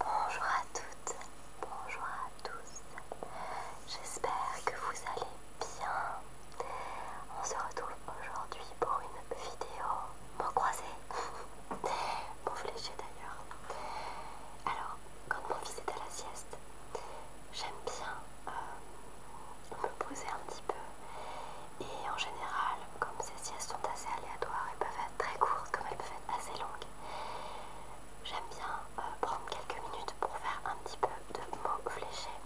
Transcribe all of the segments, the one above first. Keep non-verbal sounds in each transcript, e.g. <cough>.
Bonjour à toutes, bonjour à tous. J'espère que vous allez bien. On se retrouve aujourd'hui pour une vidéo mots croisée, pour <laughs> fléché d'ailleurs. Alors, quand mon fils est à la sieste, j'aime bien euh, me poser un petit peu et en général, comme ces siestes sont assez aléatoires elles peuvent être très courtes comme elles peuvent être assez longues, j'aime bien euh, prendre quelques minutes pour faire un petit peu de mots fléchés.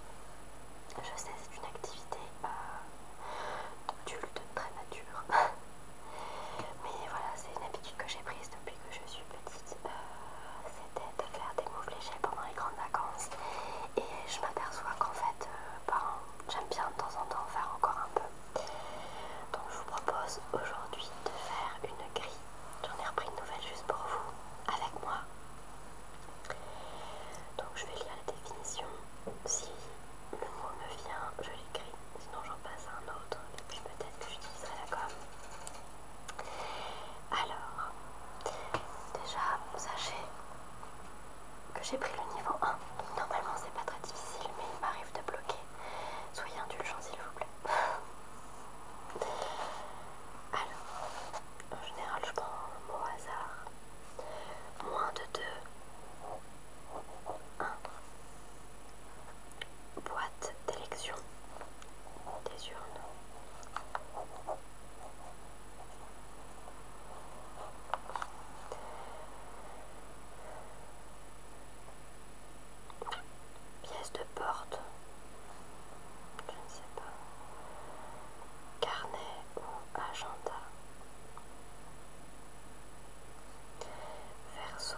Je sais, c'est une activité euh, adulte, très nature. <laughs> Mais voilà, c'est une habitude que j'ai prise depuis que je suis petite. Euh, c'était de faire des mots fléchés pendant les grandes vacances. Et je m'aperçois qu'en fait, euh, ben, j'aime bien de temps en temps faire encore un peu. Donc je vous propose aujourd'hui de faire une grille. J'en ai repris une nouvelle juste pour vous, avec moi. Donc je vais lire la définition. Si le mot me vient, je l'écris. Sinon j'en passe à un autre. Et puis peut-être que j'utiliserai la com. Alors, déjà, vous sachez que j'ai pris le niveau 1. normalement c'est pas très difficile mais il m'arrive de bloquer. Soyez indulgents s'il vous plaît. <laughs> Alors, en général je prends au hasard. Moins de 2. 1. Boîte d'élection des urnes. Pièce de porte. Je ne sais pas. Carnet ou agenda. Verso.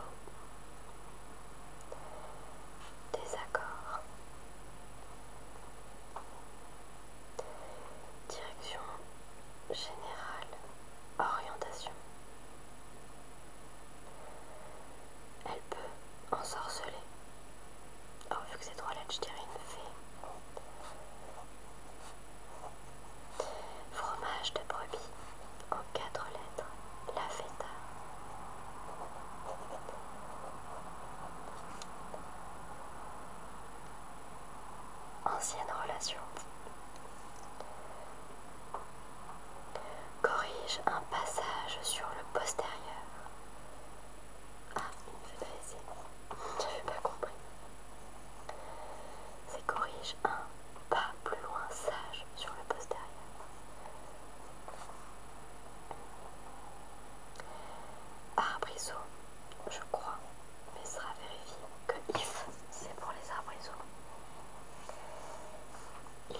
Désaccord. Direction générale orientation. Elle peut ensorceler. Oh, vu que c'est trois lettres, je dirais une fée. Fromage de brebis en quatre lettres. La feta. Ancienne relation. Corrige un passage sur le postérieur. Ah, il me fait je J'avais pas compris. C'est corrige un pas plus loin sage sur le postérieur. Arbrisseau, ah, je crois, mais sera vérifié que if c'est pour les arbres et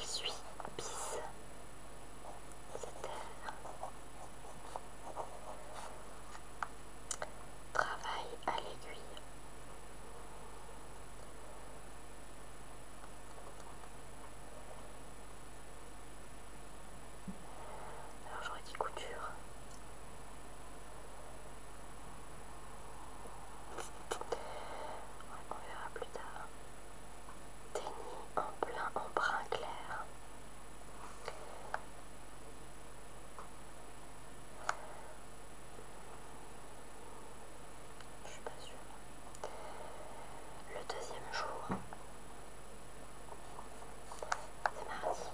Il suit bis, travaille à l'aiguille. Alors j'aurais dit couture on verra plus tard. Tennis en plein en brun clair. Je suis pas sûre. Le deuxième jour, c'est mardi.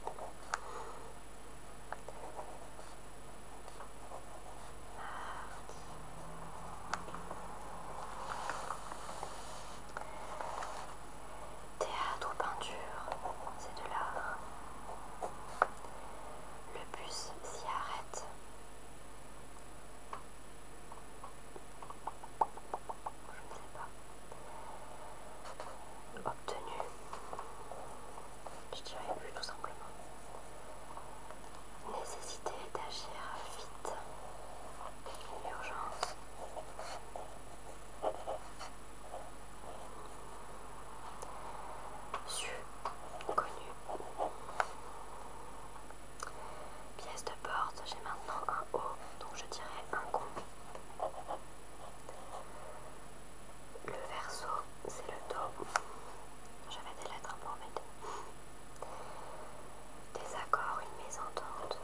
Théâtre ou peinture, c'est de l'art. Le bus s'y arrête. Je ne sais pas. Obtenu je dirais plus tout simplement. Nécessité d'agir vite, une urgence. Su, connu. Pièce de porte, j'ai maintenant un haut, donc je dirais un con. Le verso, c'est le Do. J'avais des lettres pour mettre. Des accords, une mésentente.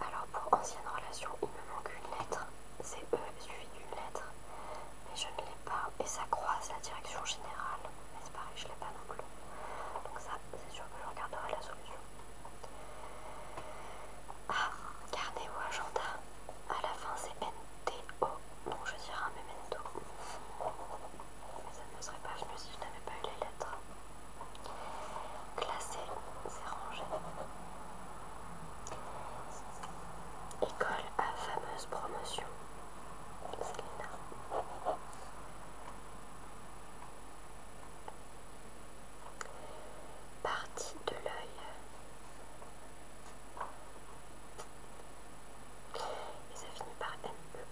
Alors pour ancienne relation, il me manque une lettre. C'est E, suivi d'une lettre. Mais je ne l'ai pas. Et ça croise la direction générale mais c'est pareil, je l'ai pas non plus. Donc ça, c'est sûr que je regarderai la solution. Ah, carnet ou agenda. À la fin, c'est N, T, O. Donc je dirais un memento. Mais ça ne serait pas venu si je n'avais pas eu les lettres. Classé, c'est rangé. École à fameuse promotion. Partie de l'œil. Et ça finit par être e.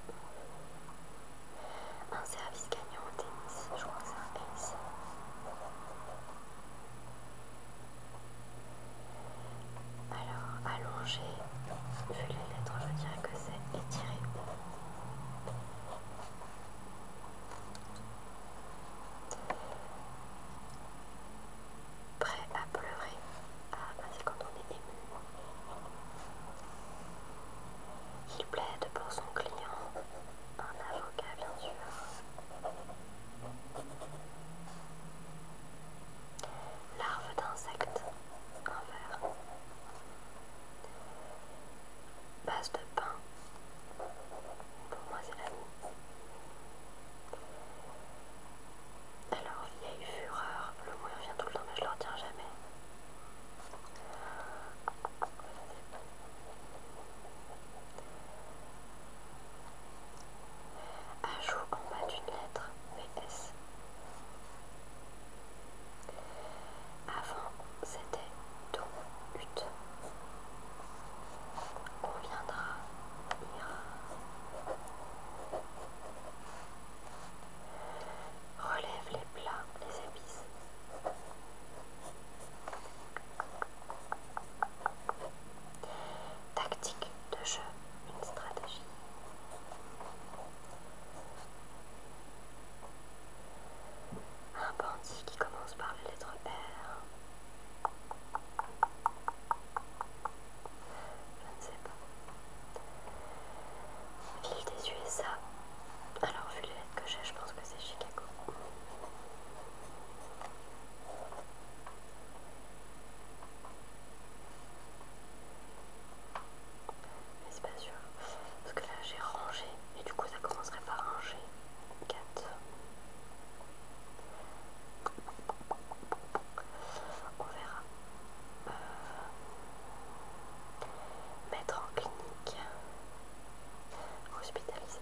Un service gagnant au tennis. Je crois que c'est un ace. Alors, allongé vu les lettres, je dirais que c'est étiré. Prêt à pleurer. Ah, c'est quand on est ému. Il plaide pour son client, un avocat bien sûr. Larve d'insecte verre Base de pain. Pour moi, c'est la nuit. Alors, vieille fureur. Le mot revient tout le temps, mais je le retiens jamais. Ajout en bas d'une lettre, VS. Avant, c'était ton but. on ira. Relève les plats, les épices. Tactique de jeu, une stratégie. Un bandit qui commence par la lettre R. Je ne sais pas. Ville des USA. Alors, vu les lettres que j'ai, je pense que c'est Chicago. Mais c'est pas sûr. Parce que là j'ai rangé et du coup ça commencerait par ranger 4. On verra. Euh, mettre en clinique. Hospitaliser.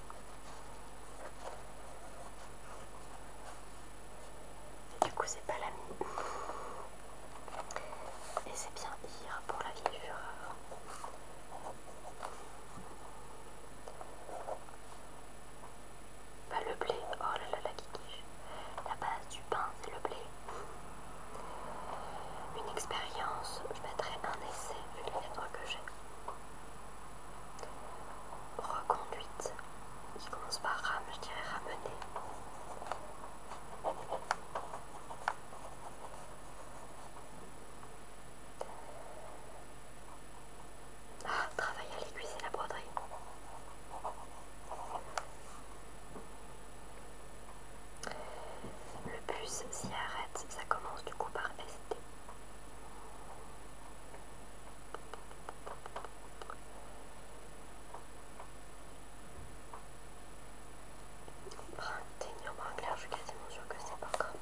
Du coup, c'est pas la mine. Et c'est bien IR pour la future. Bah, le blé, oh là là, la kiki. La base du pain, c'est le blé. Une expérience, je mettrai un essai vu les que j'ai. Reconduite, qui commence par ram, je dirais ramener. Ah, travailler à l'aiguille, la broderie. Le bus s'y arrête, ça commence du coup par ST. Brun, brun je suis quasiment sûre que c'est pas grave.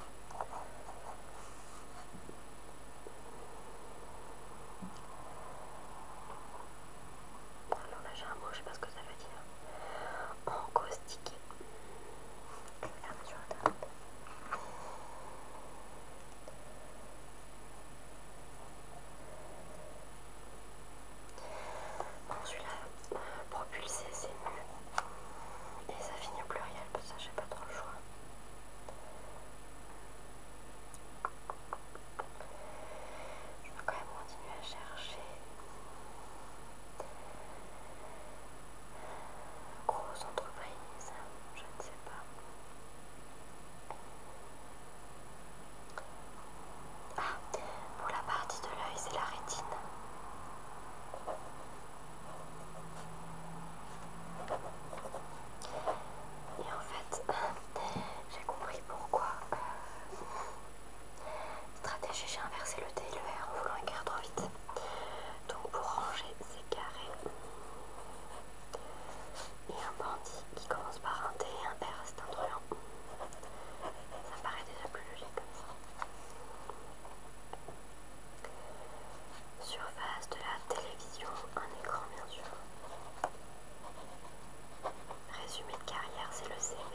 Alors là j'ai un mot, je sais pas ce que ça veut dire. Encaustiqué. Regardez sur la table. Bon, celui-là, propulser c'est mu Et ça finit au pluriel, parce que j'ai pas trop le choix. Je vais quand même continuer à chercher. Grosse entreprise, je ne sais ah, pour la partie de l'œil, c'est la rétine. Et en fait, euh, j'ai compris pourquoi. Euh, stratégie, j'ai inversé le T et le R en voulant écrire trop vite. Donc pour ranger, ces carrés et un bandit qui commence par un T et un R, c'est un truand. Ça paraît déjà plus logique comme ça. Surface de la télévision, un écran bien sûr. Résumé de carrière, c'est le CV.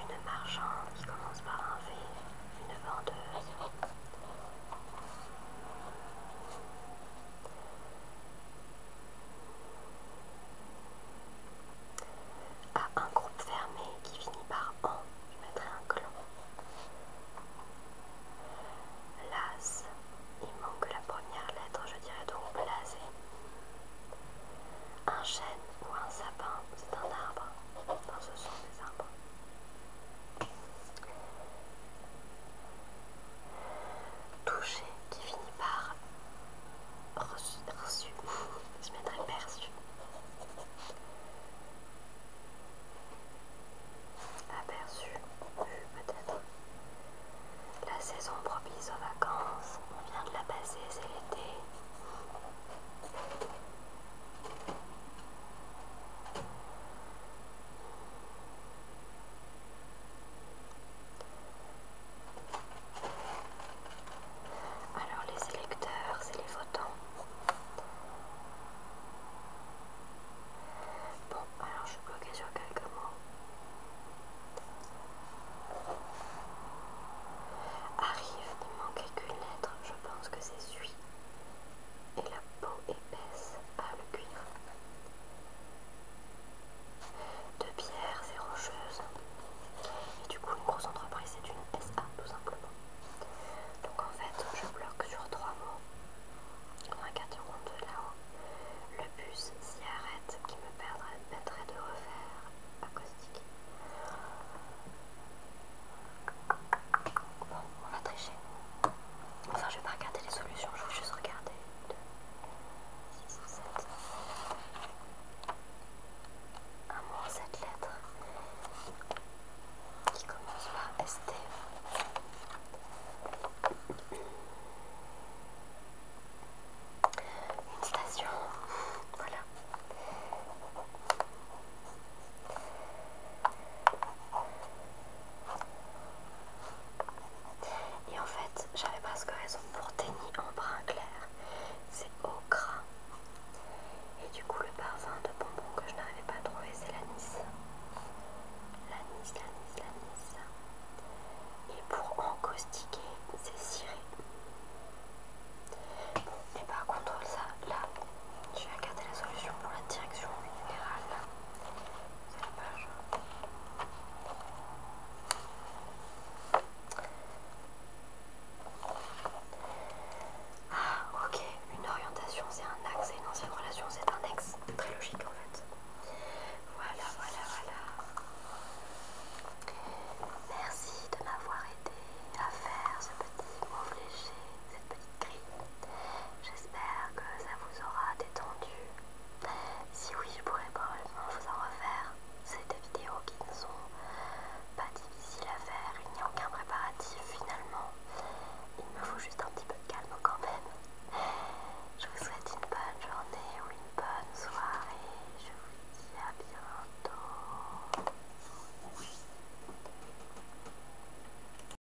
Une marchande qui commence par un V, une vendeuse. À un groupe fermé qui finit par en, je mettrai un clon. Las, il manque la première lettre, je dirais donc blasé. Un chêne ou un sapin, c'est un arbre. Enfin, ce sont des arbres touché qui finit par reçu, <laughs> je mettrais perçu. Aperçu, peut-être. La saison propice aux vacances, on vient de la passer, c'est l'été. Alors les électeurs, c'est les photons. Bon, alors je suis bloquée sur quelques mots. Arrive, il manquait qu'une lettre, je pense que c'est suie Et la peau épaisse à ah, le cuir de pierres et rocheuses. Et du coup, une grosse entreprise, c'est une SA tout simplement. Donc en fait, je bloque sur trois mots. On a 4 secondes là-haut. Le bus s'y arrête qui me permettrait de refaire acoustique. Bon, on va tricher. Enfin, je vais pas regarder les solutions, je vais juste regarder. 2, 6, 7. Un mot en 7 lettres qui commence par ST. Une station, voilà. Et en fait, j'avais presque raison pour tenir en brun clair. C'est au Et du coup, le parfum de bonbons que je n'arrivais pas à trouver, c'est l'anis. L'anis, l'anis, l'anis. Et pour encaustiquer, c'est ciré. mais et par contre, ça, là, je vais regarder la solution pour la direction minérale. Ah, ok, une orientation c'est un axe et une ancienne relation c'est un ex. Très logique en fait. Voilà, voilà, voilà. Merci de m'avoir aidé à faire ce petit mot cette petite grille. J'espère que ça vous aura détendu. Si oui, je pourrais probablement vous en refaire. C'est des vidéos qui ne sont pas difficiles à faire, il n'y a aucun préparatif finalement. Il me faut juste un petit peu de calme quand même. Je vous souhaite une bonne journée ou une bonne soirée. Je vous dis à bientôt.